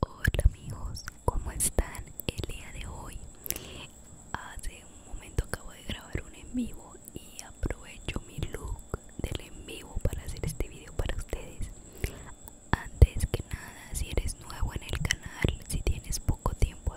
Hola amigos, ¿cómo están el día de hoy? Hace un momento acabo de grabar un en vivo y aprovecho mi look del en vivo para hacer este video para ustedes. Antes que nada, si eres nuevo en el canal, si tienes poco tiempo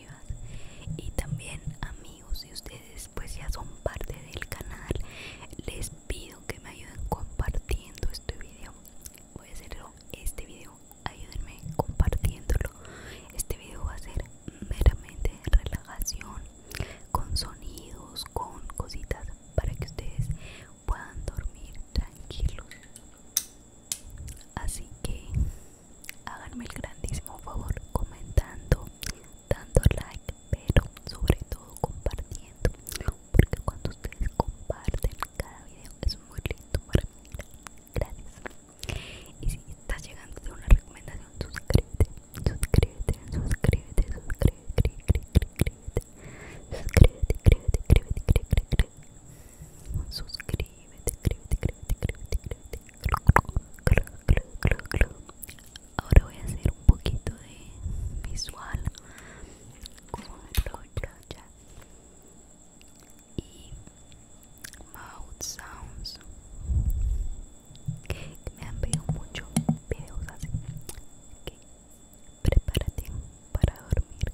y también amigos si ustedes pues ya son parte del canal les pido que me ayuden compartiendo este video voy a hacerlo este video ayúdenme compartiéndolo este video va a ser meramente de relajación con sonidos con cositas para que ustedes puedan dormir tranquilos así que haganme el grandísimo favor comentando, dando like, pero sobre todo compartiendo Porque cuando ustedes comparten cada video es muy lindo para mí Gracias Y si está llegando una recomendación, suscríbete Suscríbete, suscríbete, suscríbete, suscríbete, suscríbete Suscríbete, suscríbete, suscríbete, suscríbete escríbete, escríbete, escríbete, escríbete, escríbete. Ahora voy a hacer un poquito de visual con brocha y mouth sounds que me han pedido mucho videos así que prepárate para dormir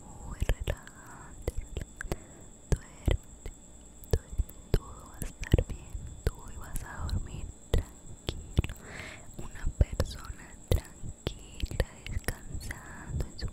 muy relajante duerme, todo va a estar bien tú y vas a dormir tranquilo una persona tranquila descansando en su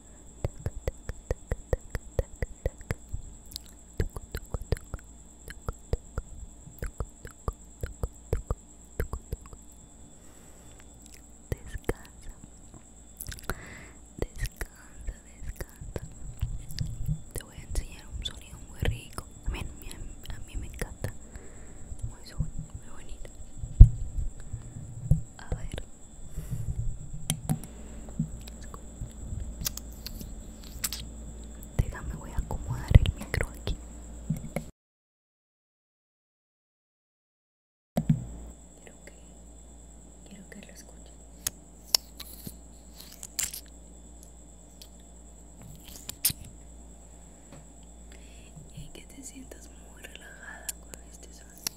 Descansa, descansa, descansa. Te voy a enseñar un sonido muy rico. A mí, me encanta. Muy, muy bonito. A ver. Déjame, voy a acomodar el micro aquí. Quiero que, quiero que lo escuchen. Y que te sientas muy relajada con este sonido.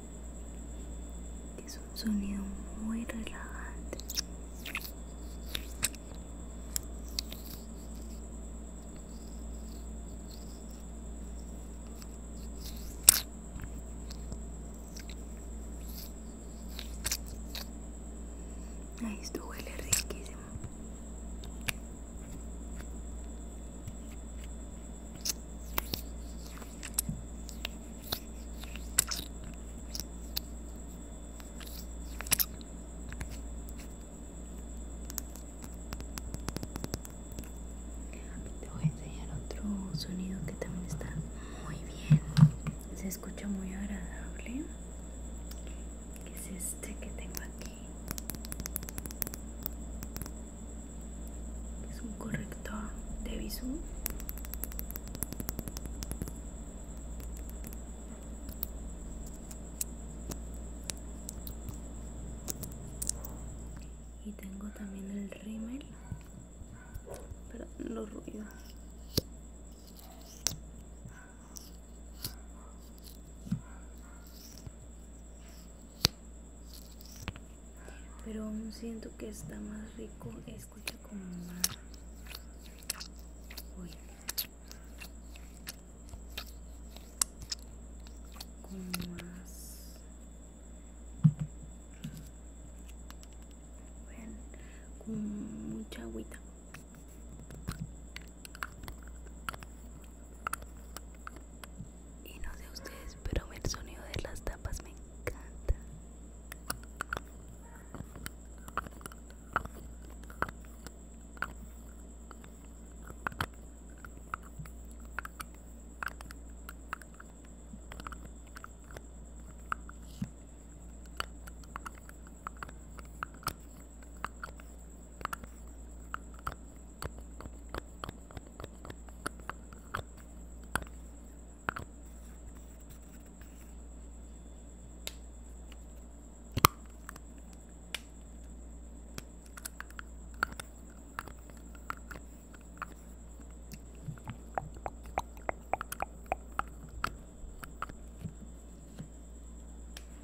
es un sonido muy relajante ahí esto huele riquísimo te voy a enseñar otro sonido que también está muy bien. Se escucha muy agradable. Que es este que tengo aquí es un corrector de bisú y tengo también el rímel pero los ruidos pero aún siento que está más rico escucha como más más con mucha agüita y no sé ustedes, pero el sonido de las tapas me encanta.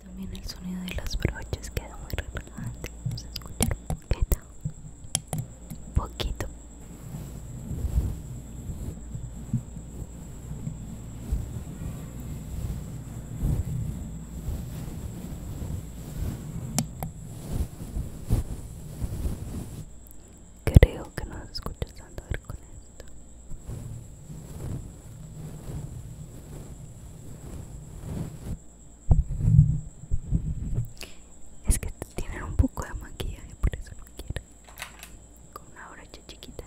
También el sonido de las brochas queda muy relajante poquito creo que no escuchas tanto ver con esto es que tienen un poco de maquillaje, por eso lo quiero. Con una brocha chiquita.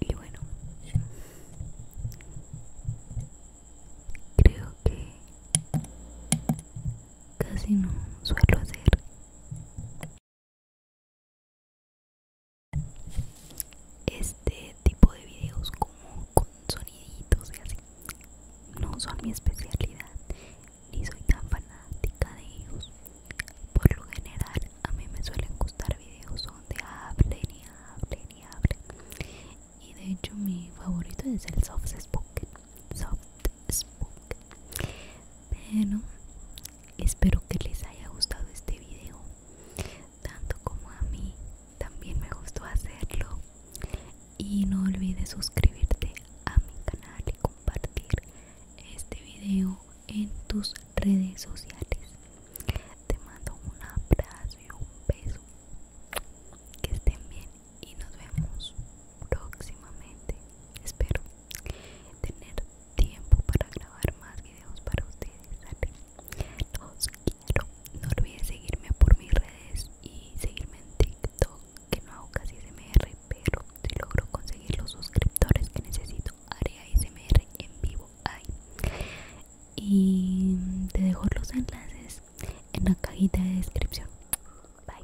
Y bueno, creo que casi no suelo hacer este tipo de videos como soniditos y así. No son mi especialidad, ni soy tan fanática de ellos. Por lo general, a mí me suelen gustar videos donde hablen y hablen y hablen. Y de hecho, mi favorito es el soft spoken. Soft spoken. Bueno espero que les haya gustado este video, tanto como a mí. También me gustó hacerlo y no olvides suscribirte a mi canal y compartir este video en tus redes sociales te mando un abrazo y un beso que estén bien y nos vemos próximamente espero tener tiempo para grabar más videos para ustedes los quiero no olvides seguirme por mis redes y seguirme en TikTok, que no hago casi SMR, pero si logro conseguir los suscriptores que necesito, haré ASMR en vivo ahí. Y te dejo los enlaces en la cajita de descripción. Bye.